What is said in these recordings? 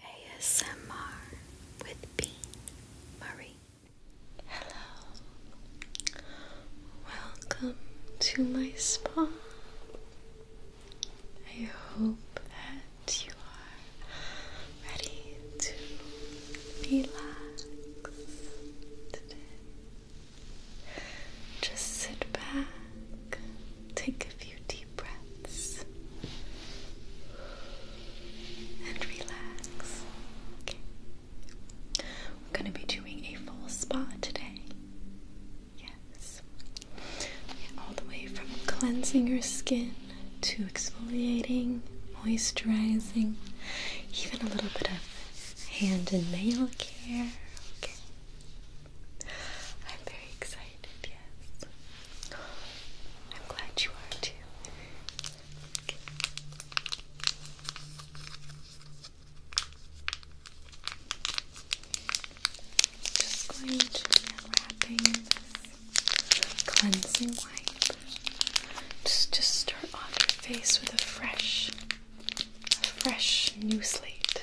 ASMR with Bean Marie. Hello. Welcome to my spa. I hope that you are ready to relax today. Just sit back, take a deep breaths and relax. Okay. We're going to be doing a full spa today. Yes. Yeah, all the way from cleansing your skin to exfoliating, moisturizing, even a little bit of hand and nail care. Okay. I'm very excited, yes. I'm glad you are too. Just going to be unwrapping this cleansing wipe. Just just start off your face with a fresh, a fresh new slate.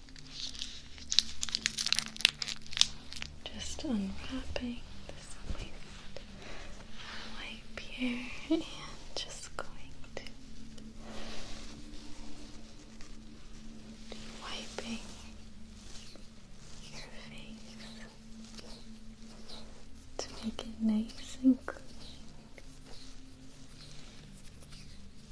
Just unwrapping this waist wipe here and just going to be wiping your face to make it nice and clean.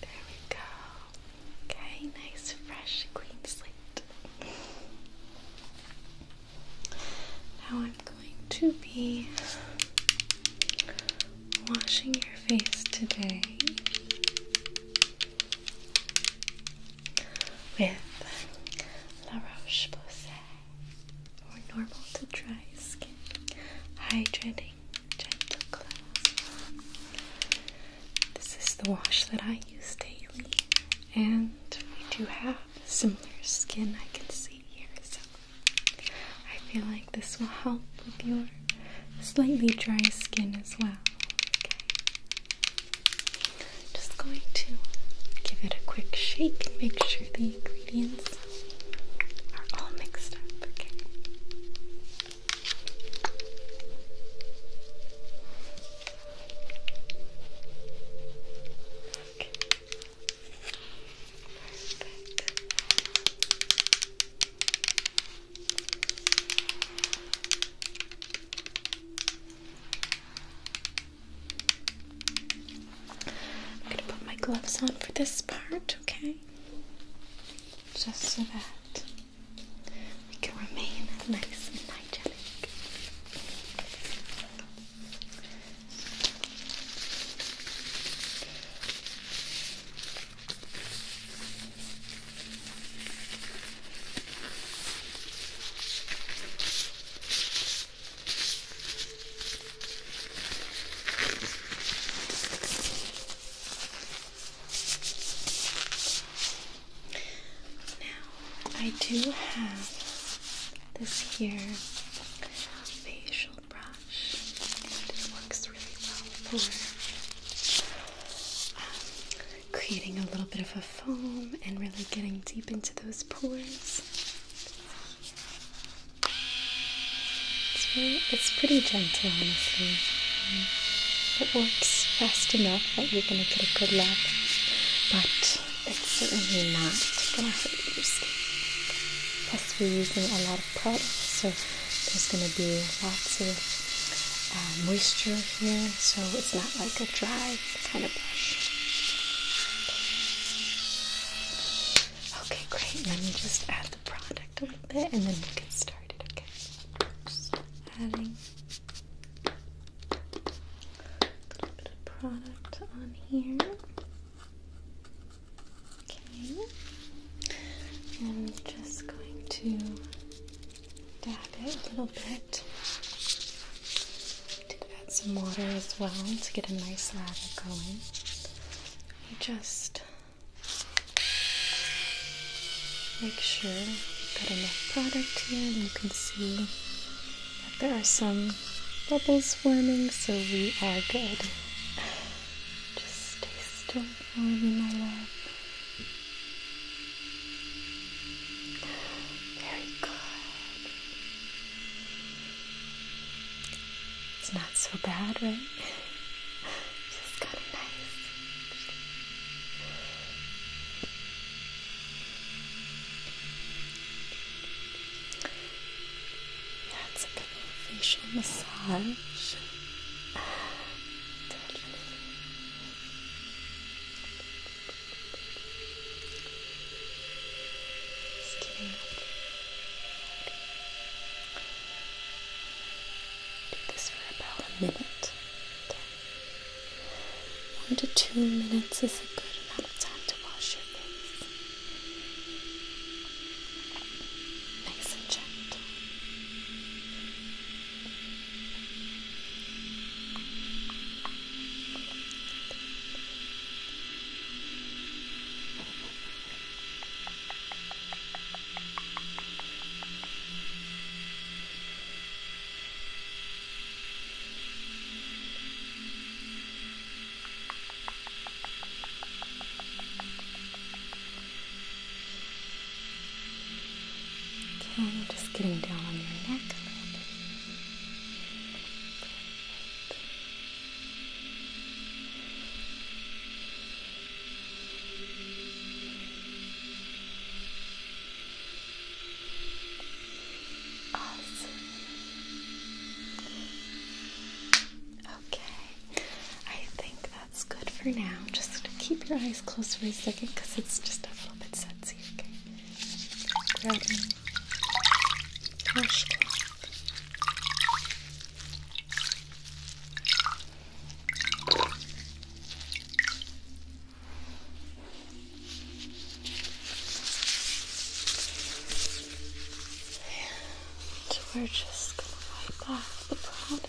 There we go. Okay, nice, fresh, clean slate. now I'm going to be washing your face today with La Roche Posay or normal to dry skin hydrating gentle cleanse. This is the wash that I use daily, and we do have similar skin I can see here, so I feel like this will help with your slightly dry skin as well. Okay. Just going to give it a quick shake and make sure the ingredients are all mixed up. Okay. I'm going to put my gloves on for this part, okay? Just so that that we can remain nice and hygienic. Now, I do have this here facial brush, and it works really well for um, creating a little bit of a foam and really getting deep into those pores. It's, pretty gentle, honestly. Mm. It works fast enough that you're going to get a good lather, but it's certainly not going to hurt your skin. Plus, we're using a lot of products, so there's going to be lots of uh, moisture here, so it's not like a dry kind of brush. Okay, great. Let me just add the product a little bit and then we get started, okay? Just adding a little bit of product on here. Okay. I'm just going to dab it a little bit. Did add some water as well to get a nice lather going. I just Make sure you've got enough product here and you can see that there are some bubbles forming, so we are good. Just stay still for me, my love. Very good. It's not so bad, right? Just kind of nice. That's a good little facial massage. Just kidding. Do this for about a minute. One to two minutes is a good amount of time to wash your face. Nice and gentle. Okay, I'm just getting down on your neck a little bit. Perfect. Okay. I think that's good for now. Just keep your eyes closed for a second because it's just a little bit sudsy, okay? And we're just going to wipe off the product.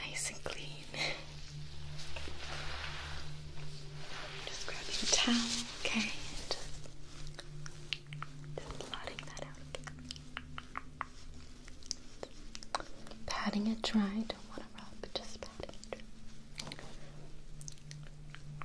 Nice and clean. Just grabbing a towel, okay? And just, blotting that out. Patting it dry, don't want to rub, just patting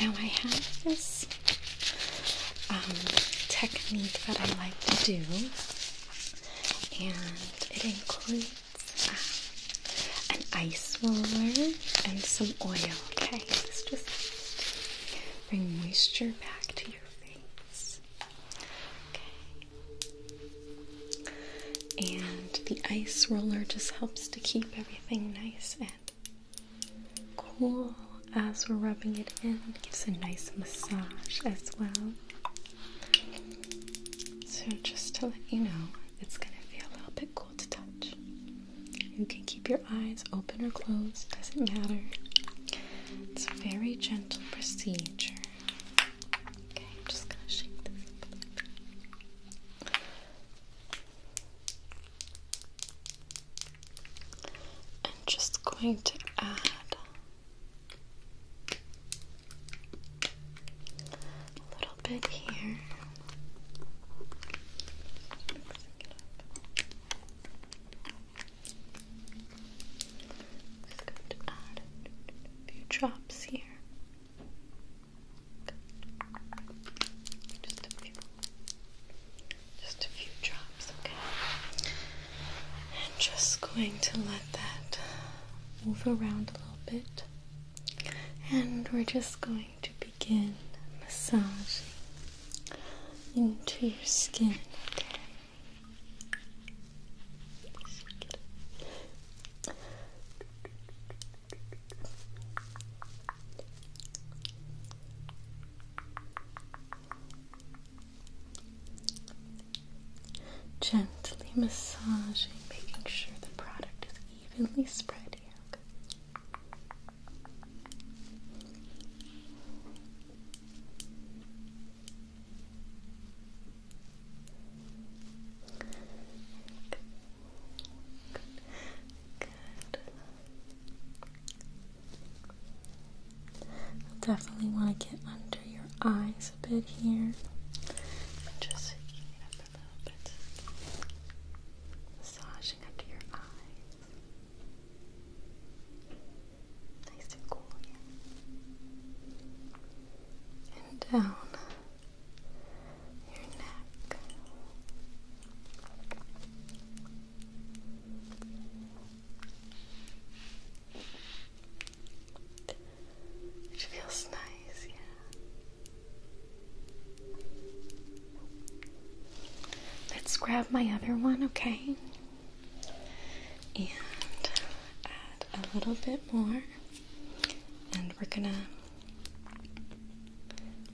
Now I have this um, technique that I like to do, and it includes um, an ice roller and some oil. Okay, this just brings moisture back to your face. Okay. And the ice roller just helps to keep everything nice and Cool as we're rubbing it in, it gives a nice massage as well. So, just to let you know, it's gonna feel a little bit cool to touch. You can keep your eyes open or closed, doesn't matter. It's a very gentle procedure. Okay, I'm just gonna shake this up a little bit. I'm just going to add a little bit here. just going to add a few drops here. Just a few. Just a few drops, okay? And just going to let that move around a little bit. And we're just going to begin massaging into your skin, okay? Gently massaging, making sure the product is evenly spread here. Good. Definitely want to get under your eyes a bit here. Just heating it up a little bit. Massaging under your eyes. Nice and cool, yeah. And down your neck. Which feels nice, yeah. Let's grab my other one, okay? And add a little bit more, and we're gonna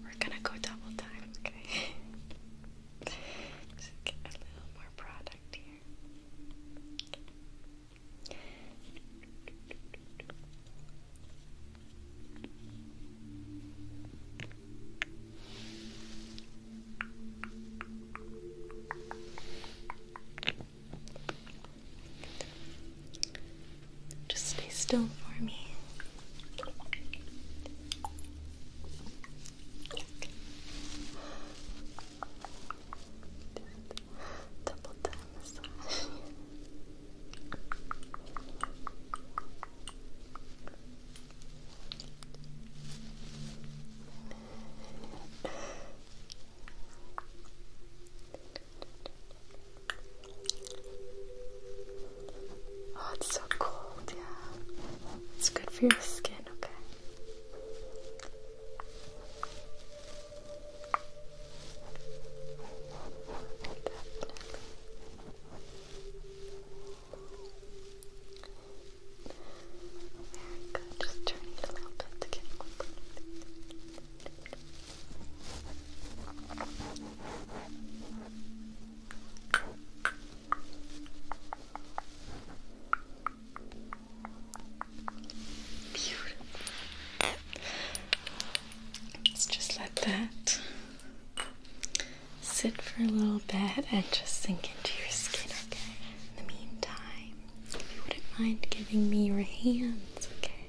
we're gonna go double time, Just get a little more product here. Just stay still for me. Double time Oh, it's so cold, yeah. It's good for your skin, okay. Very good. Just turn a little bit to get Let's just let that sit for a little bit and just sink into your skin, okay? In the meantime, if you wouldn't mind giving me your hands, okay?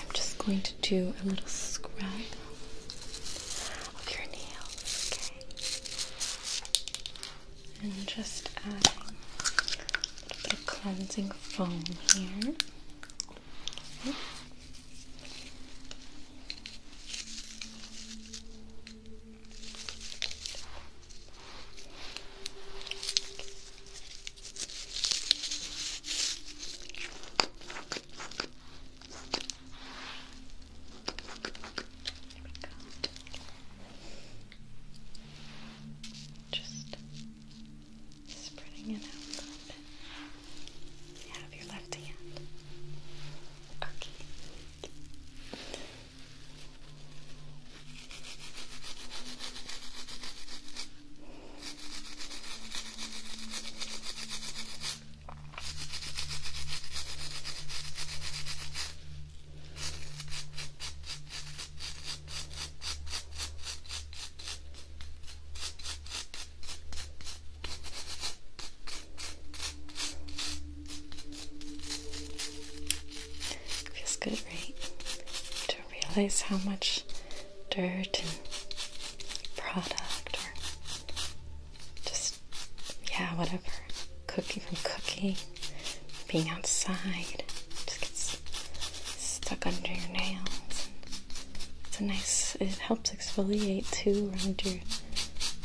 I'm just going to do a little scrub of your nails, okay? And just add a little bit of cleansing foam here. Just spreading it out a You your left hand. Okay. Feels good, right? To realize how much dirt and product or just, yeah, whatever. Cookie from cookie, being outside, just gets stuck under your nails. It's a nice, it helps exfoliate too around your, your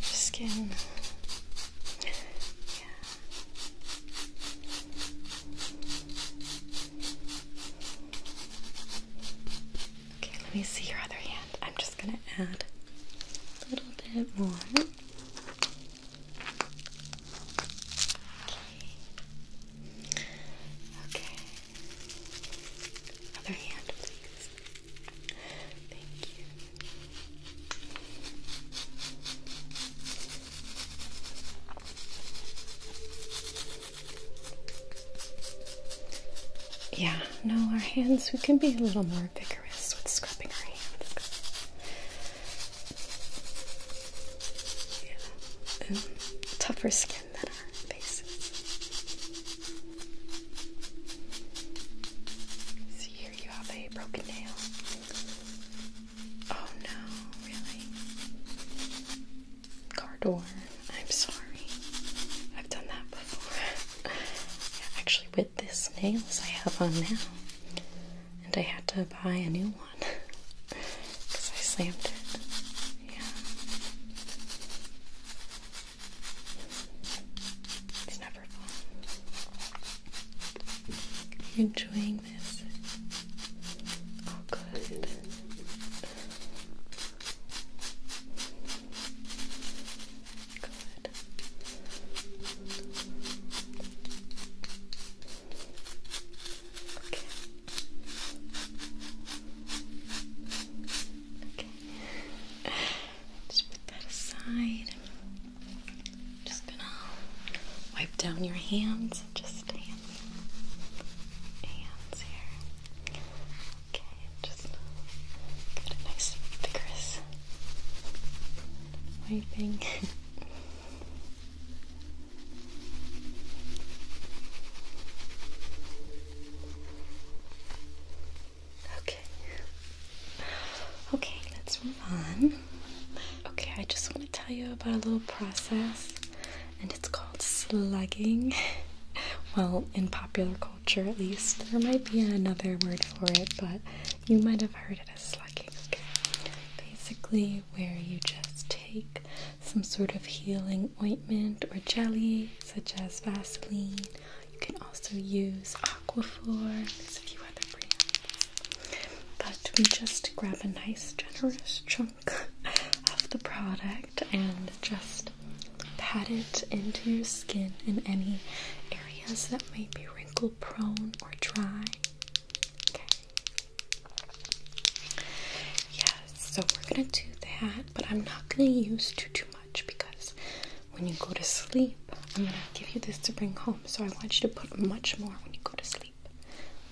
skin. Yeah. Okay, let me see your other hand. I'm just gonna add a little bit more. Okay. Okay. Other hand, please. Thank you. Yeah, no, our hands, we can be a little more vigorous with scrubbing our hands. Yeah. tougher skin than our faces. See, here you have a broken nail. Oh no, really? car door. I'm sorry. I've done that before. Actually, with this nails I have on now. And I had to buy a new one because I slammed it. Yeah. It's never fun. Are enjoying this? Oh, good. Just put that aside. Just gonna wipe down your hands just hands, hands here. Okay, just get a nice vigorous wiping. okay. Okay, let's move on. Okay, I just want to tell you about a little process and it's called slugging. well, in popular culture at least. There might be another word for it, but you might have heard it as slugging. Basically, where you just take some sort of healing ointment or jelly, such as Vaseline. You can also use Aquaphor. There's a few other brands. But we just grab a nice generous chunk of the product and just pat it into your skin in any areas that might be wrinkle prone or dry. Okay. Yes, so we're gonna do that, but I'm not gonna use too too much because when you go to sleep, I'm gonna give you this to bring home. So I want you to put much more when you go to sleep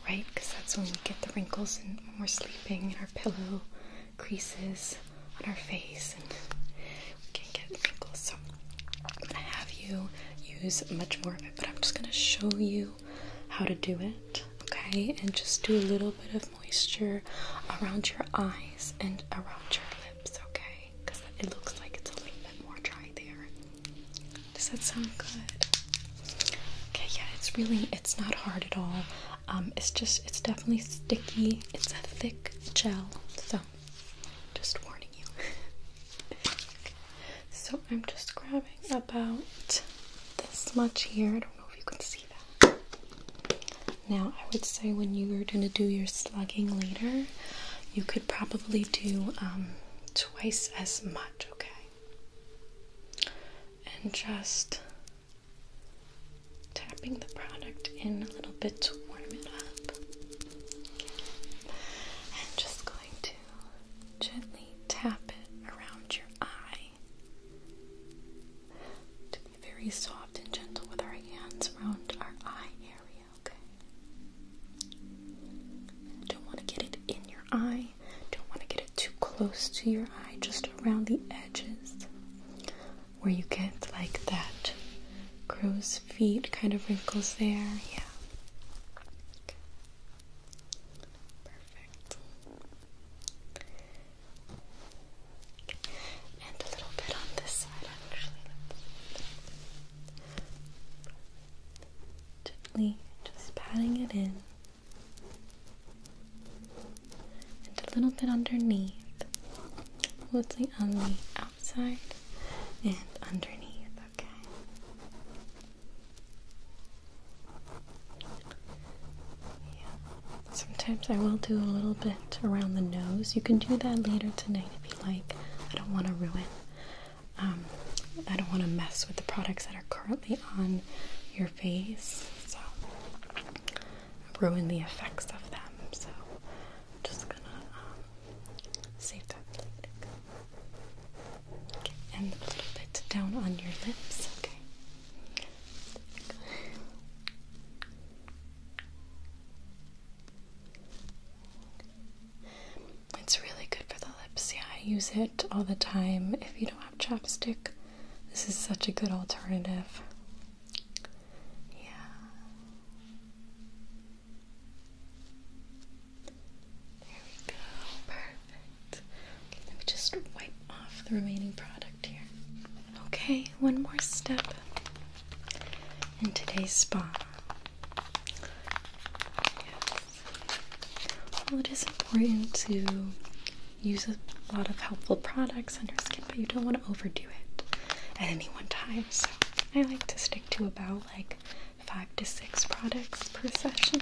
right? Because that's when we get the wrinkles and when we're sleeping and our pillow creases on our face and we can get wrinkles. So I'm gonna have you use much more of it, but I'm just gonna show you how to do it, okay? And just do a little bit of moisture around your eyes and around your lips, okay? Because it looks like it's a little bit more dry there. Does that sound good? Okay, yeah, it's really it's not hard at all. Um, it's just it's definitely sticky. It's a thick gel, so just warning you. So I'm just grabbing about this much here. I don't know if you can see that. Now I would say when you are gonna do your slugging later, you could probably do um, twice as much. Okay and just tapping the product in a little bit to warm it up. And just going to gently tap it around your eye. To be very soft and gentle with our hands around our eye area, okay? don't want to get it in your eye. Don't want to get it too close to your eye, just around the edges where you get like that crow's feet kind of wrinkles there. Yeah. Perfect. And a little bit on this side, actually. Gently just patting it in and a little bit underneath. Let's see on the outside and underneath, okay? Yeah. Sometimes I will do a little bit around the nose. You can do that later tonight if you like. I don't want to ruin. Um, I don't want to mess with the products that are currently on your face, so ruin the effects of them. So I'm just gonna um, save that and a little bit down on your lips. Okay. It's really good for the lips. Yeah, I use it all the time if you don't have chapstick. This is such a good alternative. Yeah. There we go. Perfect. let me just wipe off the remaining product here. Okay, one more step in today's spa. Well, it is important to use a lot of helpful products on your skin, but you don't want to overdo it at any one time. So I like to stick to about like five to six products per session.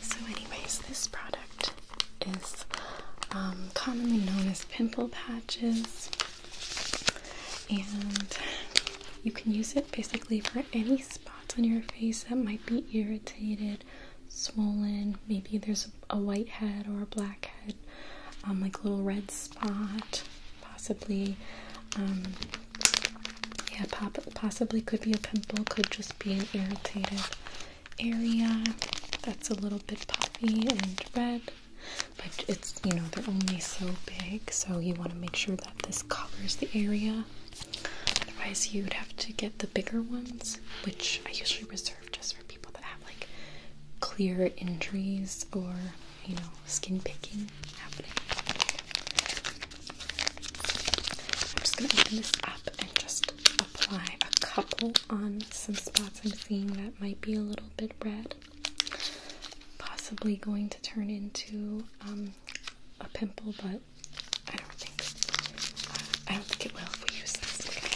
So, anyways, this product is um, commonly known as pimple patches, and you can use it basically for any spot spots on your face that might be irritated, swollen. Maybe there's a white head or a black head, um, like little red spot, possibly. Um, yeah, possibly could be a pimple, could just be an irritated area that's a little bit puffy and red. But it's, you know, they're only so big, so you want to make sure that this covers the area. Otherwise, you would have to get the bigger ones, which I usually reserve just for people that have like clear injuries or you know skin picking happening. I'm just gonna open this up and just apply a couple on some spots I'm seeing that might be a little bit red. Possibly going to turn into um, a pimple, but I don't think. Uh, I don't think it will if we use this. Look at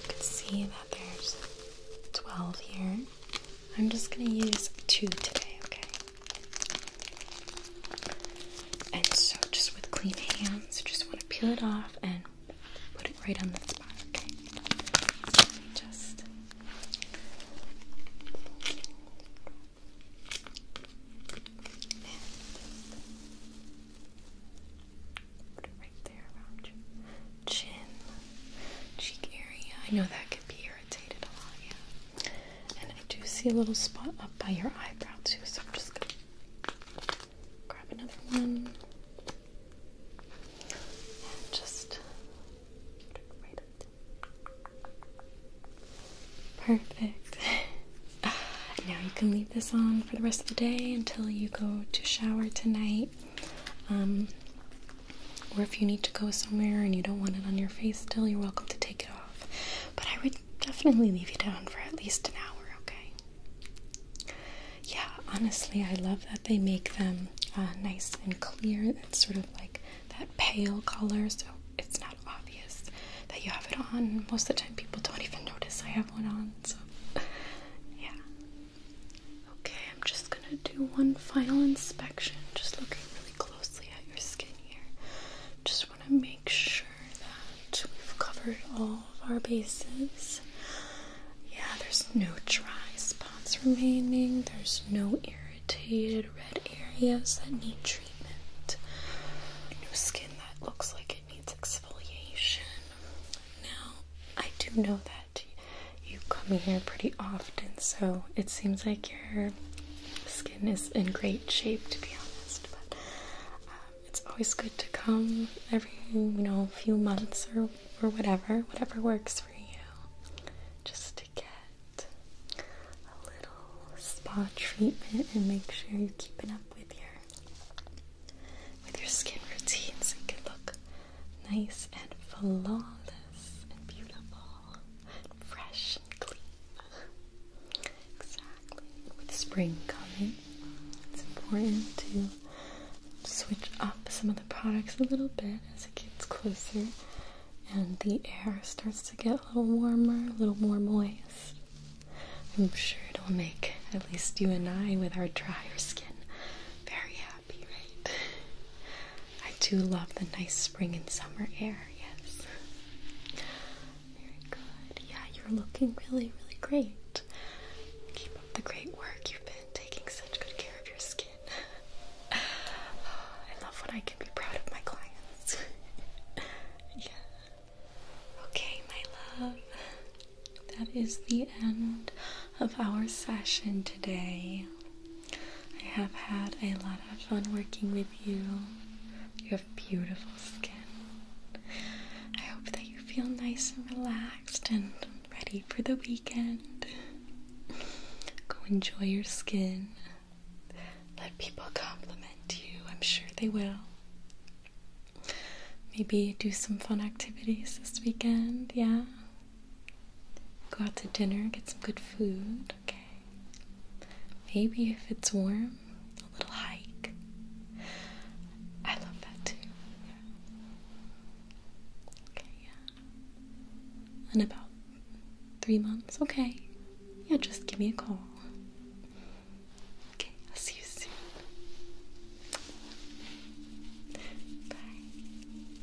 You can see that there's 12 here. I'm just gonna use two today, okay? And so, just with clean hands, just want to peel it off and put it right on the spot, okay? Just. Put it right there chin, cheek area. I know that could be irritating irritated a lot, yeah. And I do see a little spot up by your eyebrow too, so I'm just gonna grab another one just Perfect. Now you can leave this on for the rest of the day until you go to shower tonight. Um, or if you need to go somewhere and you don't want it on your face still, you're welcome to take it off. But I would definitely leave it on for at least an hour, okay? Yeah, honestly, I love that they make them uh, nice and clear. It's sort of like that pale color, so it's not obvious that you have it on. Most of the time, people don't even notice I have one on, so yeah. Okay, I'm just gonna do one final inspection, just looking really closely at your skin here. Just wanna make sure that we've covered all of our bases. Yeah, there's no dry spots remaining, there's no irritated red areas that need treatment, no skin that looks like it needs exfoliation. Now, I do know that you come here pretty often, so it seems like your skin is in great shape, to be honest. But um, it's always good to come every you know few months or or whatever, whatever works for you, just to get a little spa treatment and make sure you're keeping up with your with your skin routine so you can look nice and flawless and beautiful fresh and clean. Exactly. With spring coming, it's important to switch up some of the products a little bit as it gets closer and the air starts to get a little warmer, a little more moist. I'm sure it'll make at least you and I, with our drier skin, very happy, right? I do love the nice spring and summer air, yes. Very good. Yeah, you're looking really, really great. Keep up the great work. You've been taking such good care of your skin. I love when I can be proud of my clients. yeah. Okay, my love. That is the end of our session today. I have had a lot of fun working with you. You have beautiful skin. I hope that you feel nice and relaxed and ready for the weekend. Go enjoy your skin. Let people compliment you. I'm sure they will. Maybe do some fun activities this weekend, yeah? Go out to dinner, get some good food, okay? Maybe if it's warm, a little hike. I love that too. Okay, yeah. In about three months, okay. Yeah, just give me a call. Okay, I'll see you soon. Bye.